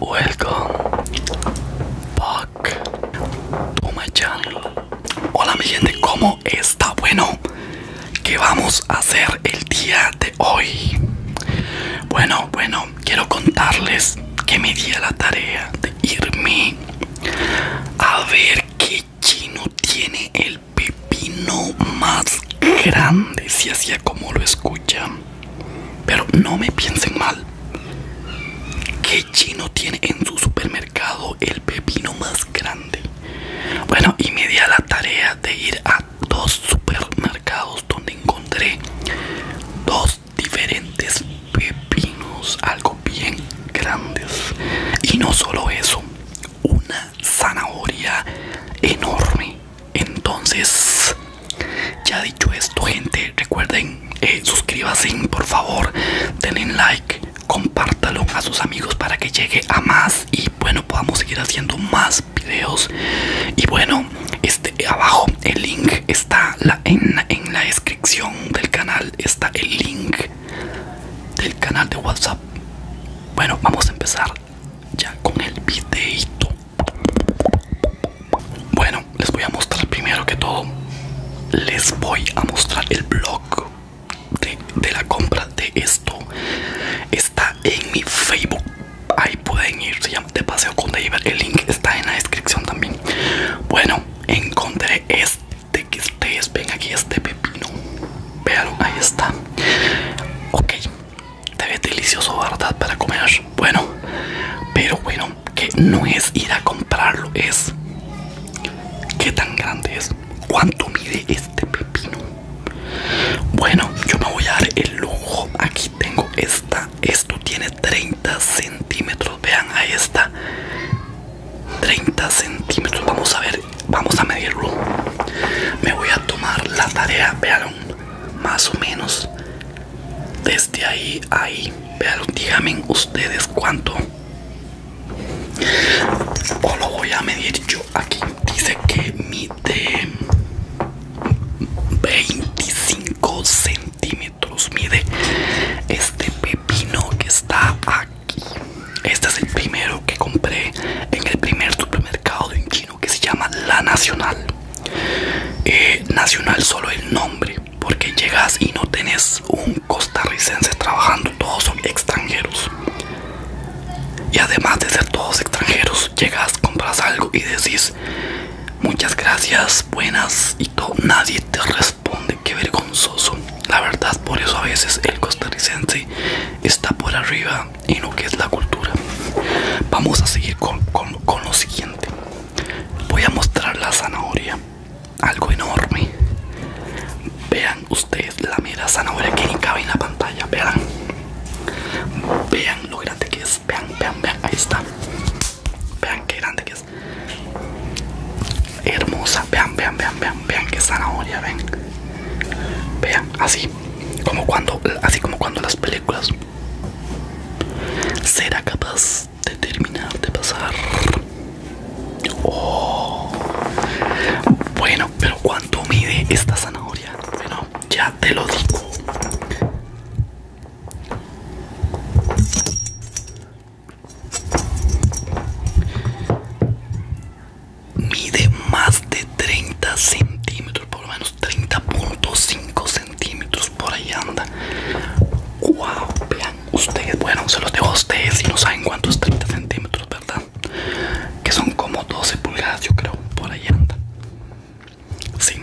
Welcome back to my Hola mi gente, ¿cómo está? Bueno, ¿qué vamos a hacer el día de hoy? Bueno, bueno, quiero contarles que me di la tarea de irme a ver qué chino tiene el pepino más grande, si hacía como lo escucho pero no me piensen mal. que chino tiene en su supermercado el pepino más grande? Bueno, y me di a la tarea de ir a dos supermercados donde encontré dos diferentes pepinos, algo bien grandes. Y no solo eso, una zanahoria enorme entonces, ya dicho esto, gente, recuerden, eh, suscríbanse por favor, denle like, compártalo a sus amigos para que llegue a más y bueno, podamos seguir haciendo más videos. Y bueno, este abajo el link está en, en la descripción del canal, está el link del canal de WhatsApp. Bueno, vamos a empezar ya con el videito bueno les voy a mostrar primero que todo les voy a mostrar el blog de, la compra de esto está en mi facebook ahí pueden ir se llama de paseo con David el link está en la descripción también bueno encontré este que ustedes ven aquí este pepino vean ahí está ok ve delicioso, ¿verdad? Para comer. Bueno, pero bueno, que no es ir a comprarlo, es qué tan grande es. ¿Cuánto mide este pepino? Bueno, yo me voy a dar el lujo. Aquí tengo esta. Esto tiene 30 centímetros. Vean, ahí está. 30 centímetros. Vamos a ver vamos a medirlo. Me voy a tomar la tarea, vean, más o menos desde ahí ahí. Vean, díganme ustedes cuánto. O lo voy a medir yo aquí. Dice que mide 25 centímetros. Mide este pepino que está aquí este es el primero que compré en el primer supermercado de chino que se llama La Nacional. Eh, nacional solo el nombre, porque llegas y no tenés un costarricense trabajando, todos son extranjeros. Y además de ser todos extranjeros, llegas, compras algo y decís muchas gracias, buenas y todo, nadie te responde, qué vergonzoso. La verdad, por eso a veces el costarricense está por arriba y lo que es la cultura. Vamos a seguir con, lo siguiente. Voy a mostrar la zanahoria, algo enorme. Vean ustedes la mera zanahoria que ni cabe en la pantalla. Vean, vean lo grande que es. Vean, vean, vean. Ahí está. Vean qué grande que es hermosa. Vean, vean, vean, vean, vean que zanahoria, ven. Vean, así como cuando, así como cuando las películas. Será capaz de terminar de pasar. Oh. Bueno, pero ¿cuánto mide esta zanahoria? Bueno, ya te lo digo. Mide más de 30 centímetros, por lo menos 30.5 centímetros, por ahí anda. ¡Wow! Vean ustedes, bueno, se los dejo a ustedes si no saben cuántos 30 centímetros, ¿verdad? Que son como 12 pulgadas, yo creo, por ahí anda. Sí,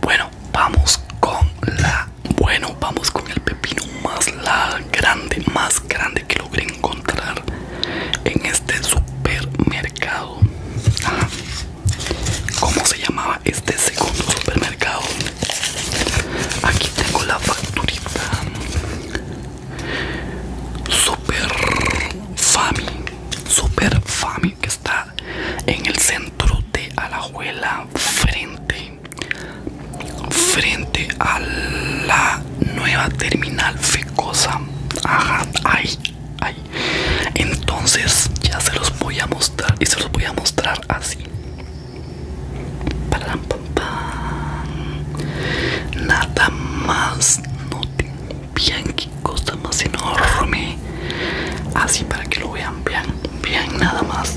bueno, vamos con la. Bueno, vamos con el pepino más la grande, más grande que logré encontrar en este supermercado. ¿Cómo se llamaba este segundo supermercado? Aquí tengo la facturita. Super Fami, Super Fami que está en el centro de Alajuela frente frente a la nueva terminal fecosa. Ajá, ay, ay. Entonces ya se los voy a mostrar y se los voy a mostrar así. Nada más, no bien que cosa más enorme. Así para que lo vean, vean, bien nada más.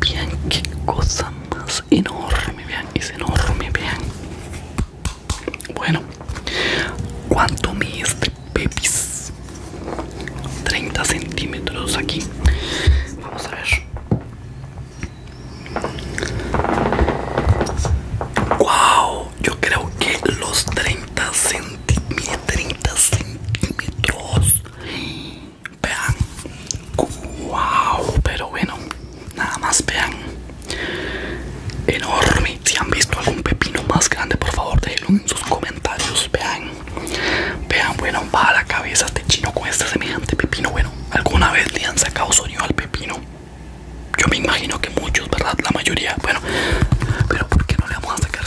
Vean qué cosa más enorme, vean, es enorme, vean. Bueno, ¿cuánto mide 30 centímetros aquí. Vamos a ver. ¡Wow! Yo creo que los 30 centímetros, 30 centímetros Vean. Wow, pero bueno, nada más vean. Enorme. Si han visto algún pepino más grande, por favor, déjenlo en sus comentarios. Vean. Vean, bueno, baja la cabeza este chino con este semejante pepino. Bueno, alguna vez le han sacado sonido al pepino. Yo me imagino que muchos, ¿verdad? La mayoría. Bueno, pero ¿por qué no le vamos a sacar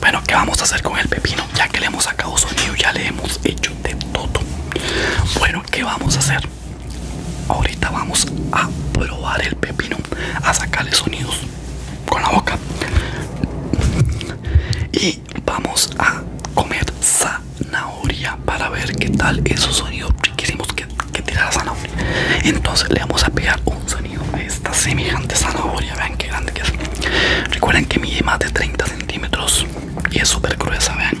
Bueno, ¿qué vamos a hacer con el pepino? Ya que le hemos sacado sonido, ya le hemos hecho de todo. Bueno, ¿qué vamos a hacer? Ahorita vamos a probar el pepino, a sacarle sonidos con la boca. Y vamos a comer zanahoria para ver qué tal esos sonidos riquísimos que, que la zanahoria. Entonces le vamos a pegar un sonido a esta semejante zanahoria. Vean Recuerden que mide más de 30 centímetros y es súper gruesa, vean.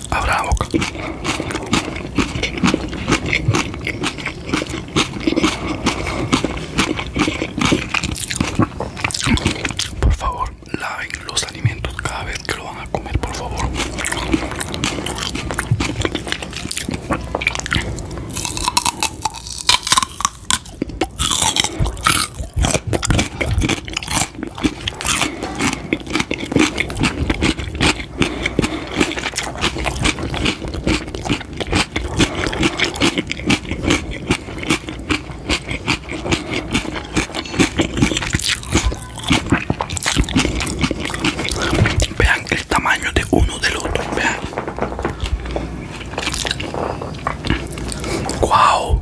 Abra la boca. Por favor, laven los alimentos cada vez que lo van a comer, por favor. Vean el tamaño de uno del otro, vean. Wow,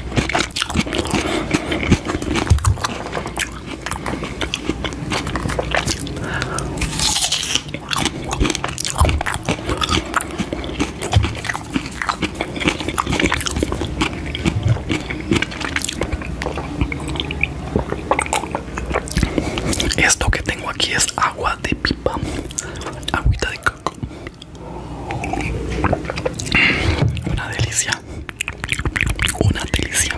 Esto que tengo aquí es agua de pipa, agüita de coco. Una delicia una delicia.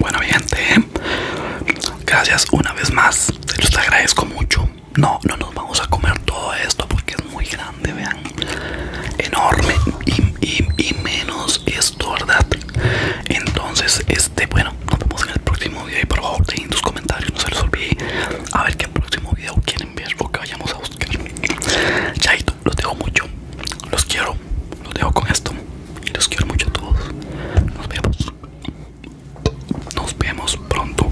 Bueno, gente, gracias una vez más. Se los agradezco mucho. No, no nos vamos a comer todo esto porque es muy grande, vean enorme y, y, menos esto, ¿verdad? Entonces, este, bueno, nos vemos en el próximo video y por favor dejen tus comentarios, no se los olvide a ver qué próximo video quieren ver o que vayamos a buscar. Chaito, los dejo mucho, los quiero, los dejo con esto y los quiero mucho a todos. Nos vemos, nos vemos pronto.